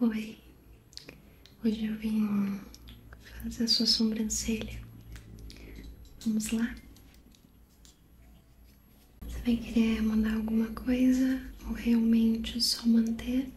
Oi, hoje eu vim fazer a sua sobrancelha. Vamos lá? Você vai querer mandar alguma coisa ou realmente só manter?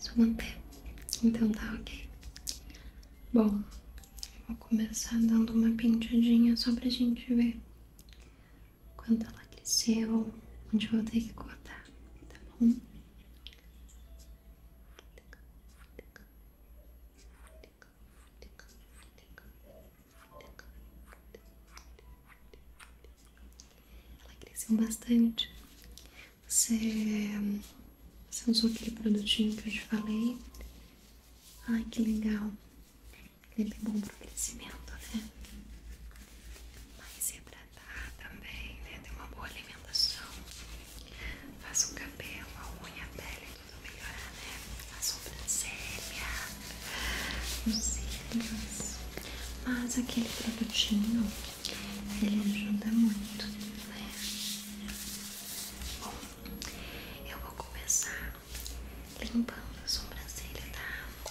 Só manter. Então tá ok. Bom, vou começar dando uma pintadinha só pra gente ver quando ela cresceu, onde eu vou ter que cortar, tá bom? Ela cresceu bastante. Você, você usou aquele produtinho que eu te falei? Ai que legal! Ele é bem bom pro crescimento, né? Mas hidratar é também, né? Ter uma boa alimentação. Faça o cabelo, a unha, a pele, tudo melhorar, né? A sobrancelha, os cílios. Mas aquele produtinho, ele ajuda muito, né? Bom, eu vou começar limpando a sobrancelha, tá?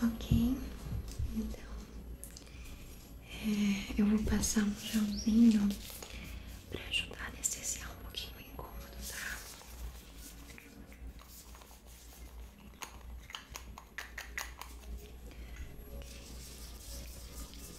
Ok, então é, eu vou passar um gelzinho pra ajudar a anestesiar um pouquinho o incômodo, tá? Okay.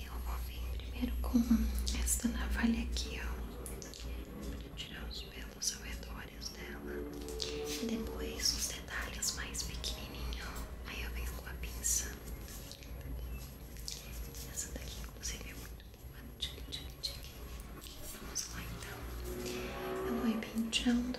Eu vou vir primeiro com esta navalha aqui, ó, pra tirar os pelos ao dela. depois os detalhes mais pequenininhos. Aí eu venho com a pinça. Essa daqui, inclusive, é muito boa. Vamos lá então. Eu vou ir penteando.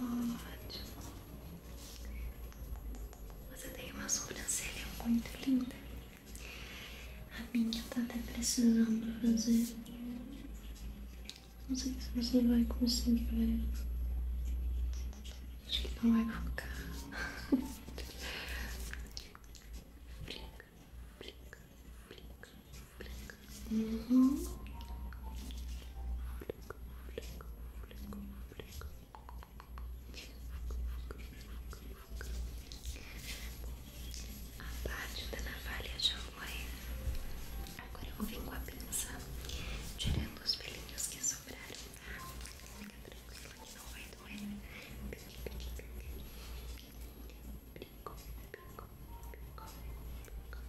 Ótimo. Você tem uma sobrancelha muito linda. A minha tá até precisando fazer. Não sei se você vai conseguir ver. Né? Acho que não vai focar. brinca, brinca, brinca, brinca. Uhum. A parte da navalha já foi. Agora eu vou vir com a pinça, tirando os pelinhos que sobraram. Fica tranquila que não vai doer. Pico, pico, pico, pico, pico,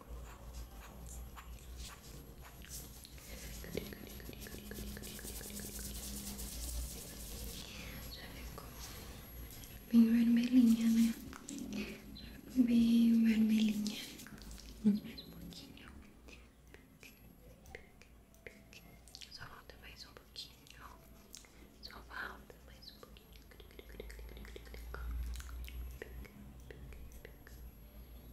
ficou bem vermelhinha, né? Já ficou bem vermelhinha. Vamos mais um pouquinho. Só falta mais um pouquinho. Só falta mais um pouquinho.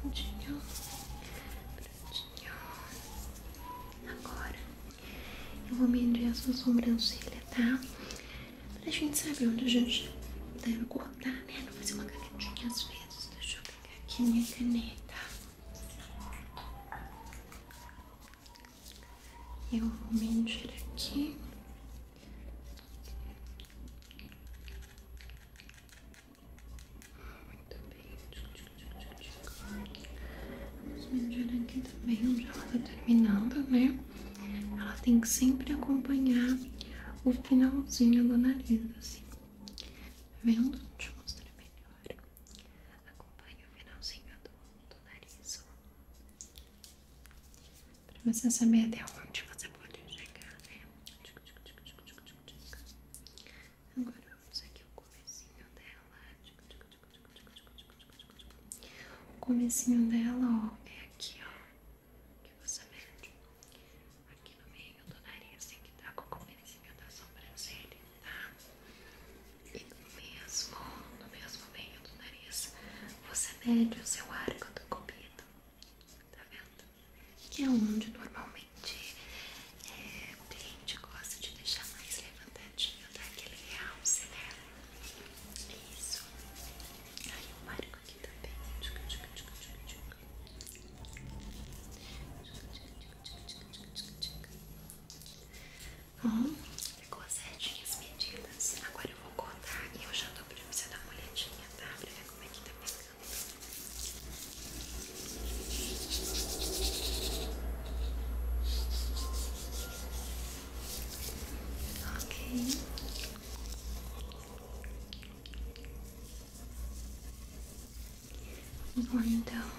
Prontinho, prontinho. Agora eu vou medir a sua sobrancelha, tá? Pra gente saber onde a gente deve cortar, né? Não fazer uma canetinha às vezes. Deixa eu pegar aqui minha caneta. Eu vou medir aqui. Muito bem. Vamos medir aqui também onde ela tá terminando, né? Ela tem que sempre acompanhar o finalzinho do nariz, assim. Tá vendo? Deixa eu mostrar melhor. Acompanha o finalzinho do, nariz. Pra você saber até onde você pode chegar, né? Agora vamos aqui o comecinho dela. O comecinho dela, ó, é aqui, ó. Que você vê aqui no meio do nariz, tem assim, que tá com o comecinho da sobrancelha tá? E no mesmo, no mesmo meio do nariz, você mede o seu arco da cupido, tá vendo? Que é onde normalmente é, o cliente gosta de deixar mais levantadinho, tá? Aquele realce, né? Isso. Aí o arco aqui também. Uhum. Ficou certinho as medidas. Agora eu vou cortar e eu já dou pra você dar uma olhadinha, tá? Pra ver como é que tá ficando Ok. Vamos então.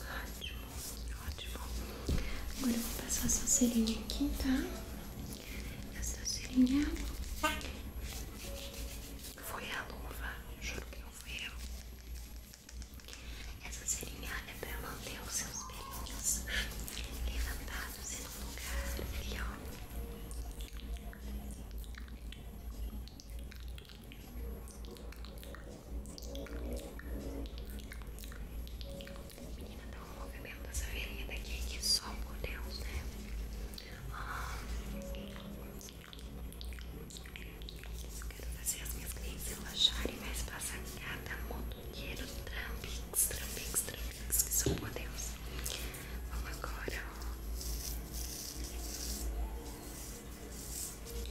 Ótimo, ótimo. Agora eu vou passar sua serinha aqui, tá? Essa serinha foi a luva, juro que não fui eu. Essa serinha é pra manter os seus pelinhos levantados em um lugar aqui, ó. Menina, dá tá um movimento nessa velhinha daqui que só por Deus, né? Ah, eu quero fazer as minhas clientes relaxarem, mas passar cada motoqueiro trampix, trampix, trampix, que só por Deus. Vamos agora,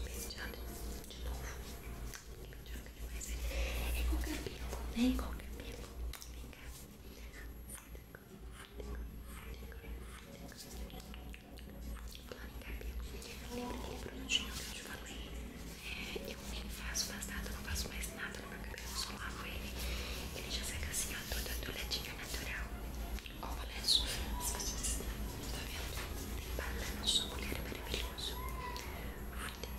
penteado de novo. Penteado demais. É qualquer cabelo. né? Qualquer pelo. Vem cá. Plano em cabelo. Lembra aquele produtinho que eu te falei? É, eu nem faço mais nada, não faço mais nada no meu cabelo, só lavo ele. Ele já seca assim, ó, toda douradinha é natural. Olha isso. Tá vendo? Tem banana, sua mulher é maravilhoso. Muito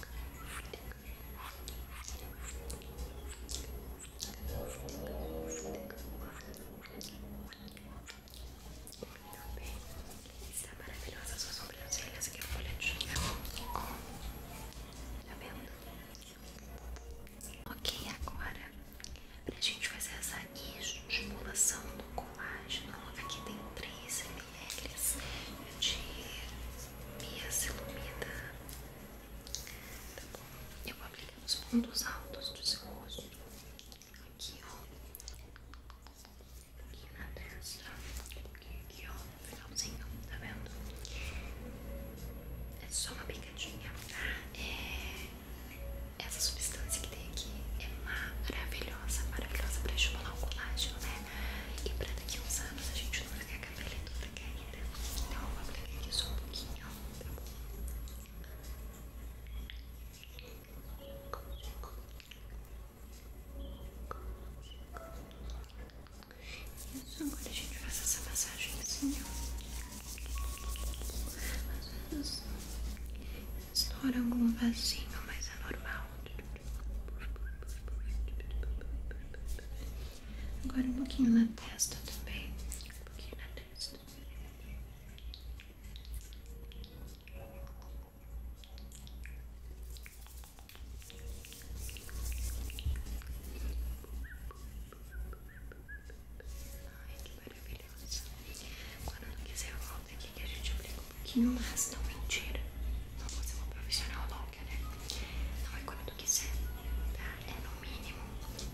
bem. Está maravilhosa suas sobrancelhas. Aqui é folha de Tá vendo? Ok, agora pra gente fazer essa estimulação do colágeno, aqui tem 3 ml de miacilumida. Tá bom? Eu vou aplicar nos pontos altos do seu rosto. Aqui, ó. Aqui na testa. Aqui, aqui ó. Finalzinho, tá vendo? É só uma pequena Tá? É, essa substância que tem aqui é maravilhosa, maravilhosa pra estimular o colágeno, né? E pra daqui uns anos a gente não ficar com a pele toda Então eu vou aplicar aqui só um pouquinho, tá Agora a gente faz essa massagem assim, ó. Às vezes estoura algum vasinho, mas é normal. Agora um pouquinho na testa também. Um pouquinho na testa. Ai, que maravilhoso. Quando não quiser, volta aqui que a gente aplica um pouquinho, mas não mentira. Não vou ser uma profissional louca, né? Não é quando tu quiser, tá? É no mínimo.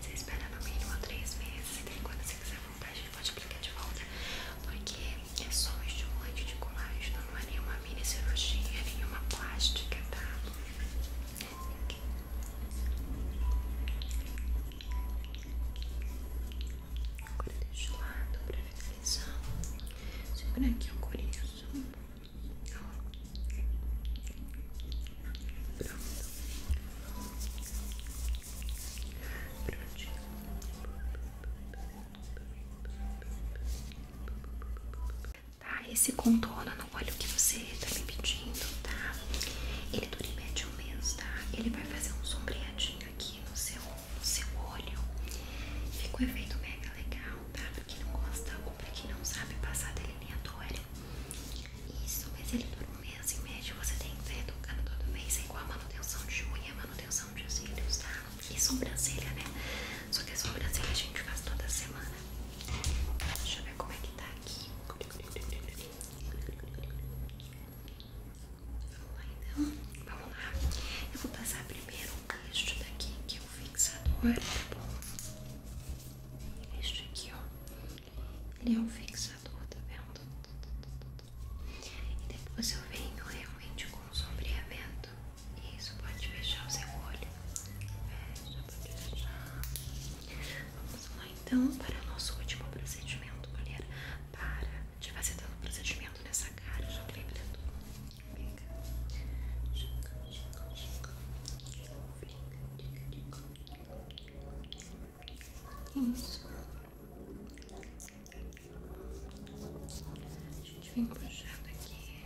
Você espera no mínimo três meses. E quando você quiser voltar, a gente pode aplicar de volta. Porque é só um estimulante de colágeno, não é nenhuma mini cirurgia, nem nenhuma plástica, tá? Agora deixa o lado pra finalizar. Segura aqui o coriço. Pronto. Prontinho tá? Esse contorno no olho que você tá me pedindo, tá? Ele dura em média um mês, tá? Ele vai fazer um sombreadinho aqui no seu, no seu olho. Fica um efeito mega legal, tá? Pra quem não gosta ou pra quem não sabe passar delineador. Isso, mas ele dura um mês e média. Você tem que ter tocando todo mês. É igual a manutenção de unha, é manutenção de cílios, tá? E sobrancelha, né? Só que a sobrancelha a gente faz toda semana. Deixa eu ver como é que tá aqui. Vamos lá então. Vamos lá. Eu vou passar primeiro este daqui, que é o fixador, tá bom? Este aqui, ó. Ele é um fixador, tá vendo? E depois eu venho realmente com o sombreamento isso, pode fechar o seu olho. Fecha, pode fechar. Vamos lá então para o nosso último procedimento, mulher. Para de fazer todo o procedimento nessa cara, já lembra tudo. Pega. Chica, chica, chica. Isso. A gente vem puxando aqui,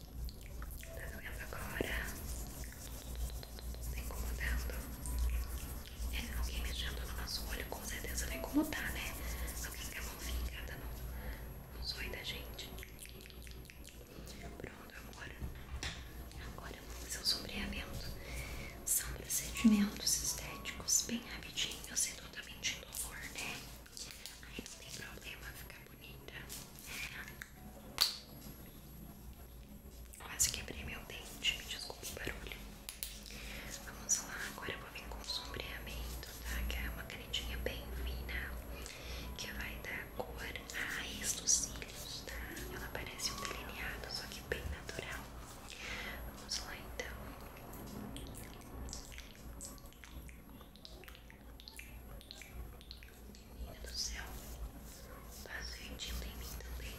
Tá doendo agora? Tá incomodando? É, alguém mexendo no nosso olho com certeza vai incomodar, tá, né? Alguém com a mão fincada no, no da gente. Pronto, agora. Agora vamos fazer o sombreamento. São procedimentos estéticos bem rapidinhos e totalmente indolor, né? Aí não tem problema fica bonita. É, Quase quebrei meu dente, me desculpe o barulho. Vamos lá, agora eu vou vir com o sombreamento, tá? Que é uma canetinha bem fina, que vai dar cor à raiz dos cílios, tá? Ela parece um delineado, só que bem natural. Vamos lá então. Menina do céu, passa o em mim também.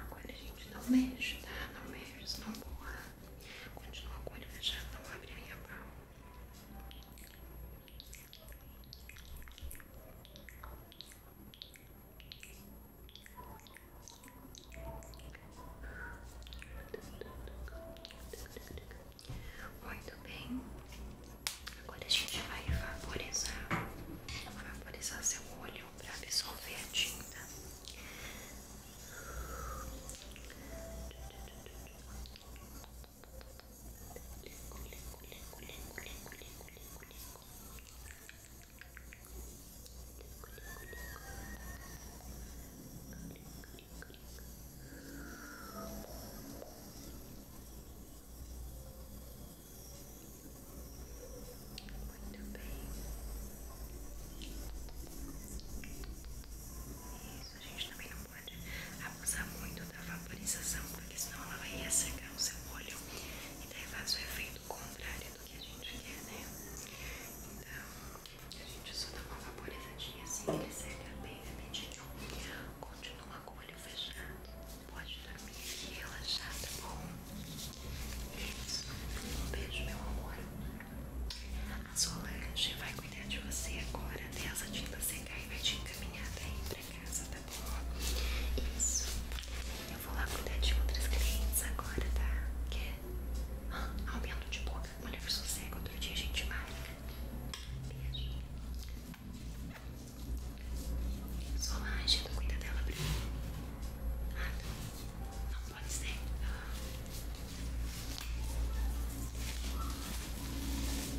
Agora a gente não mexe, tá? Não mexe, não boa. Continua com o olho fechado, não abre a minha mão. Muito bem. Agora a gente vai vaporizar, vaporizar seu olho para absorver a tinta. Muito bem. Isso, a gente também tá não abusar muito da vaporização, porque senão ela vai ressecar o seu olho e daí faz o efeito contrário do que a gente quer, né? Então, a gente só dá uma vaporizadinha assim, que seca bem rapidinho. Continua com o olho fechado, pode dormir e relaxar, tá bom? Isso. Um beijo, meu amor. A Solange vai cuidar de você agora, até né? essa tinta seca e vai te encaminhar daí. Tá? pra casa, tá bom? Isso. Eu vou lá cuidar de outras crianças agora, tá? Que? Ah, aumento de boca. Mulher sossega, outro dia a gente marca. Beijo. Solange, não cuida dela primeiro Ah, não. Não pode ser. Ah.